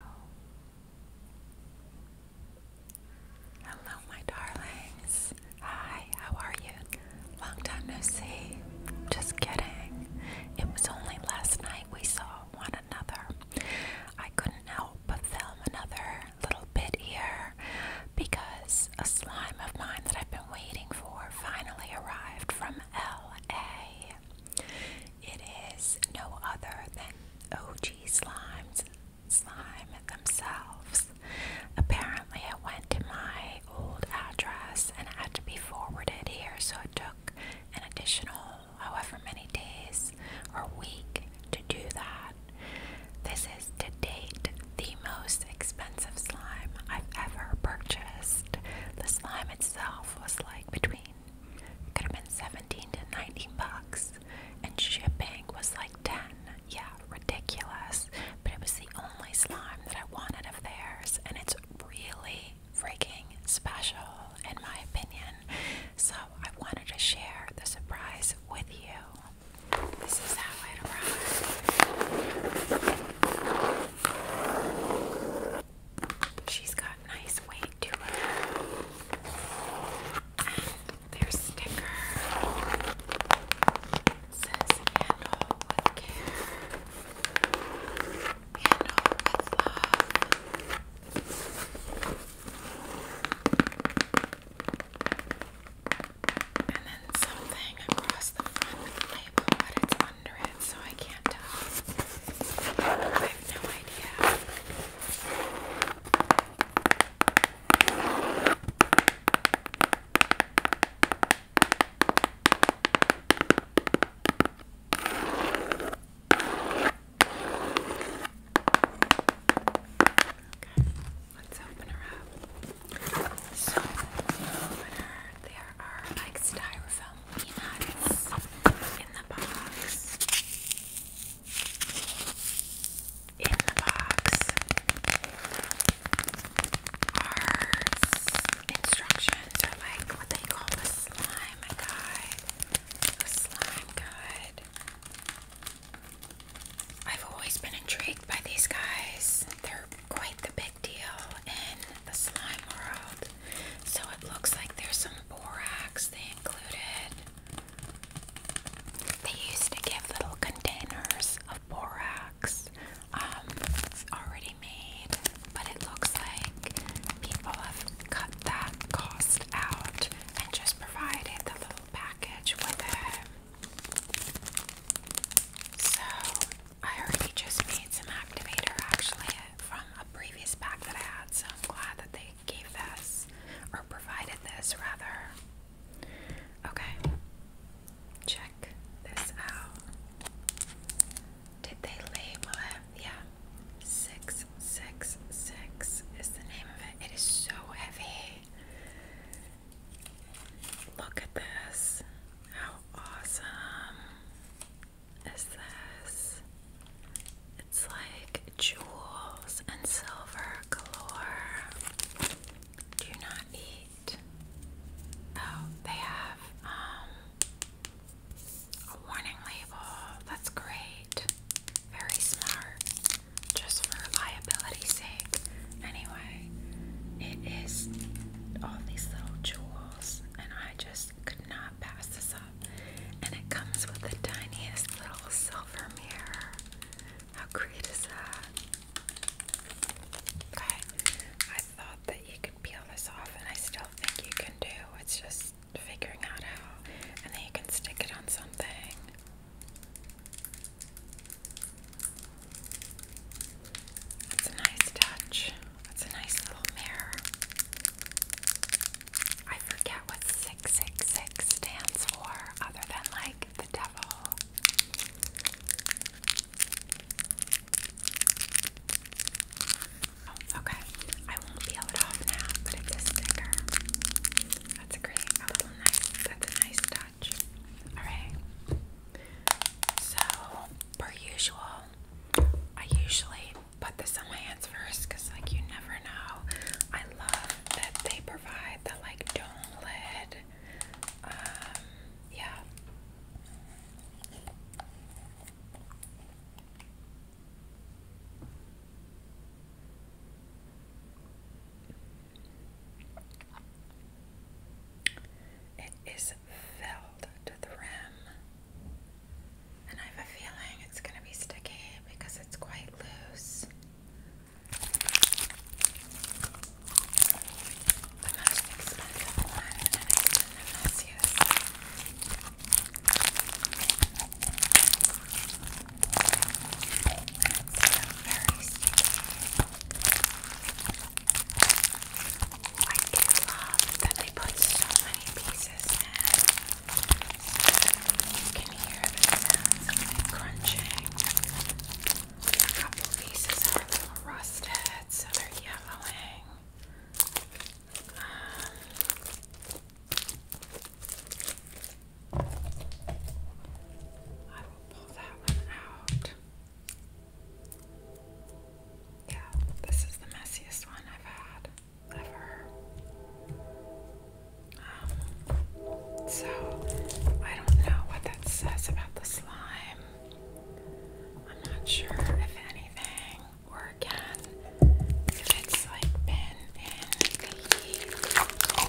Hello, my darlings. Hi, how are you? Long time no see. Just kidding. It was only last night we saw one another. I couldn't help but film another little bit here because a slime of mine that I've been waiting for finally arrived from LA. It is no other than OG Slime's slime themselves. Apparently, it went to my old address and it had to be forwarded here, so it took an additional however many days or week to do that. This is to date the most expensive slime I've ever purchased. The slime itself was like between could have been 17 to 19 bucks, and shipping was like 10. Yeah, ridiculous. But it was the only slime that I wanted of theirs, and it's really freaking special, in my opinion. So I wanted to share the surprise with you. This is how it arrived. She's got nice weight to her. And sticker says handle with care. Handle with love. And then something across the front but it's under it, so I can't tell. I have no idea. Okay, let's open her up. So, open her. There are like styrofoam in the box. In the box instructions or like what they call a slime guide. A slime guide. I've always been intrigued by these guys. They're quite the big deal the slime world. So it looks like there's some borax they included. They used to give little containers of borax um, already made, but it looks like people have cut that cost out and just provided the little package with it. So I already just made some activator actually from a previous pack that I had, so I'm glad that they gave this or provided this rather. Okay, check this out. Did they label it? Yeah, 666 is the name of it. It is so heavy. Look at this. How awesome is this? It's like jewels and silver galore. Do not eat. Oh, they have um, a warning label. That's great. Very smart. Just for liability's sake. Anyway, it is all these little jewels, and I just could not pass this up. And it comes with the tiniest little silver mirror. How great is that? Okay, I thought that you could peel this off, and I still think you can do. It's just figuring out how. And then you can stick it on something. That's a nice touch. That's a nice little mirror. I forget what 666 stands for, other than like the devil. Oh, okay. I won't peel it off now, but it's a sticker. That's a great, little nice, that's a nice touch scratch. Alright. So, per usual, I usually put this on my hands first because, like, you never know. I love that they provide the, like, dome lid. Um, yeah. It is filled to the rim, and I have a feeling it's going to be sticky because it's quite loose first, I love that they put so many pieces in. You can hear the sounds of crunching. A couple pieces are a little rusted, so they're yellowing. I will pull that one out. Yeah, this is the messiest one I've had ever. Um, so I don't know what that says about the slime. I'm not sure if anything, or again, if it's like been in the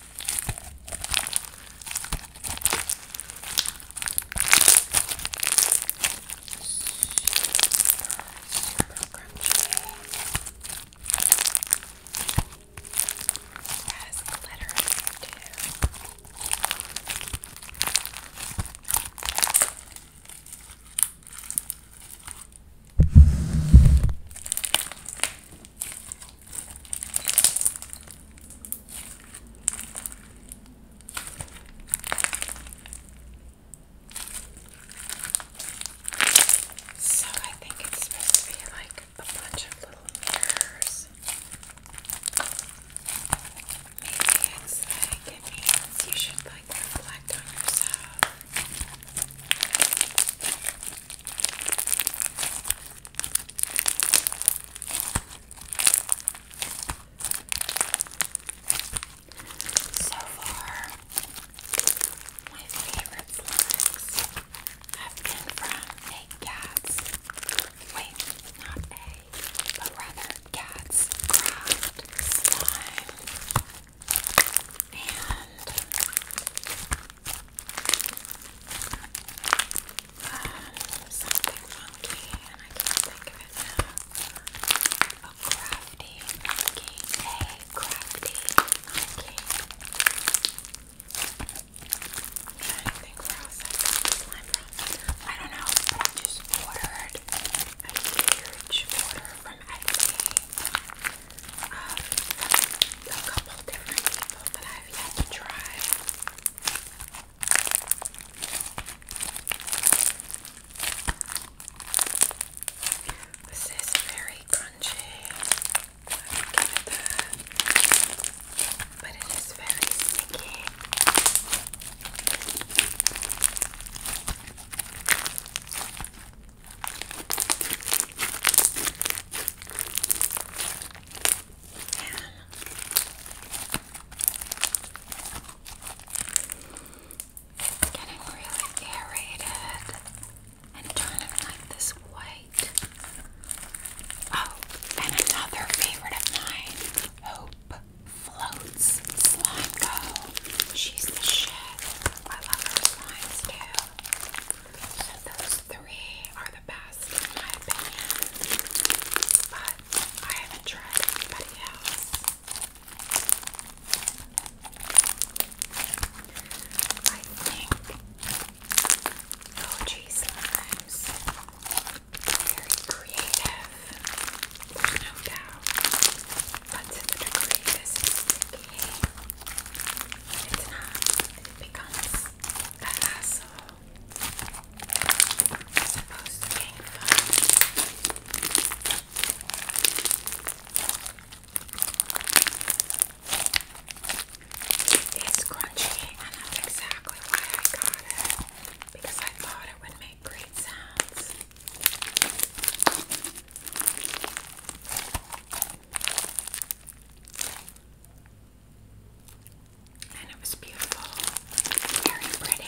super crunchy. It has glitter in it too. So I think it's supposed to be like a bunch of little mirrors. Maybe it's like it means you should like reflect on yourself. So far, my favorite snacks have been from a cat's, wait, not a, but rather cat's craft slime. And um, something funky, and I can't think of it now. A crafty A crafty monkey. Yeah, I think we're all set on this I don't know, but I just ordered a huge order from Etsy. Um, a couple different people that I've yet to try. This is very crunchy. I give that. But it is very sticky. It's getting really aerated and turning like this white. Oh, and another favorite of mine, Hope. Floats Slime Go. She's the shit. I love her slimes too. So those three are the best in my opinion. But I haven't tried anybody else. I think OG slimes very creative. no doubt. But to the degree this is sticky, it's not, it becomes a hassle as opposed It's crunchy, and that's exactly why I got it because I thought it would make great sounds. And it was beautiful, very pretty.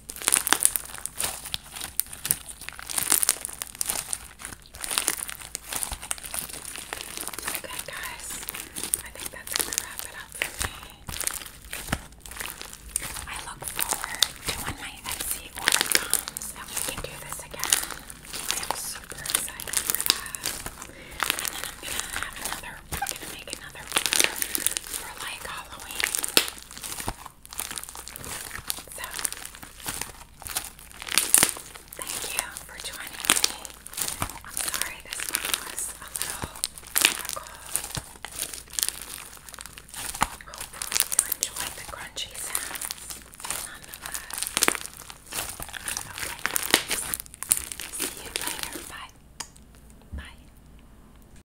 Okay, guys, I think that's gonna wrap it up for me. I look forward to when my Etsy order comes and we can do this again. I am super excited for that. And then I'm gonna have another, I'm gonna make another order for like Halloween. So, thank you for joining me. I'm sorry this was a little difficult. Hopefully, you enjoyed the crunchy sounds nonetheless. Okay, see you later. Bye. Bye.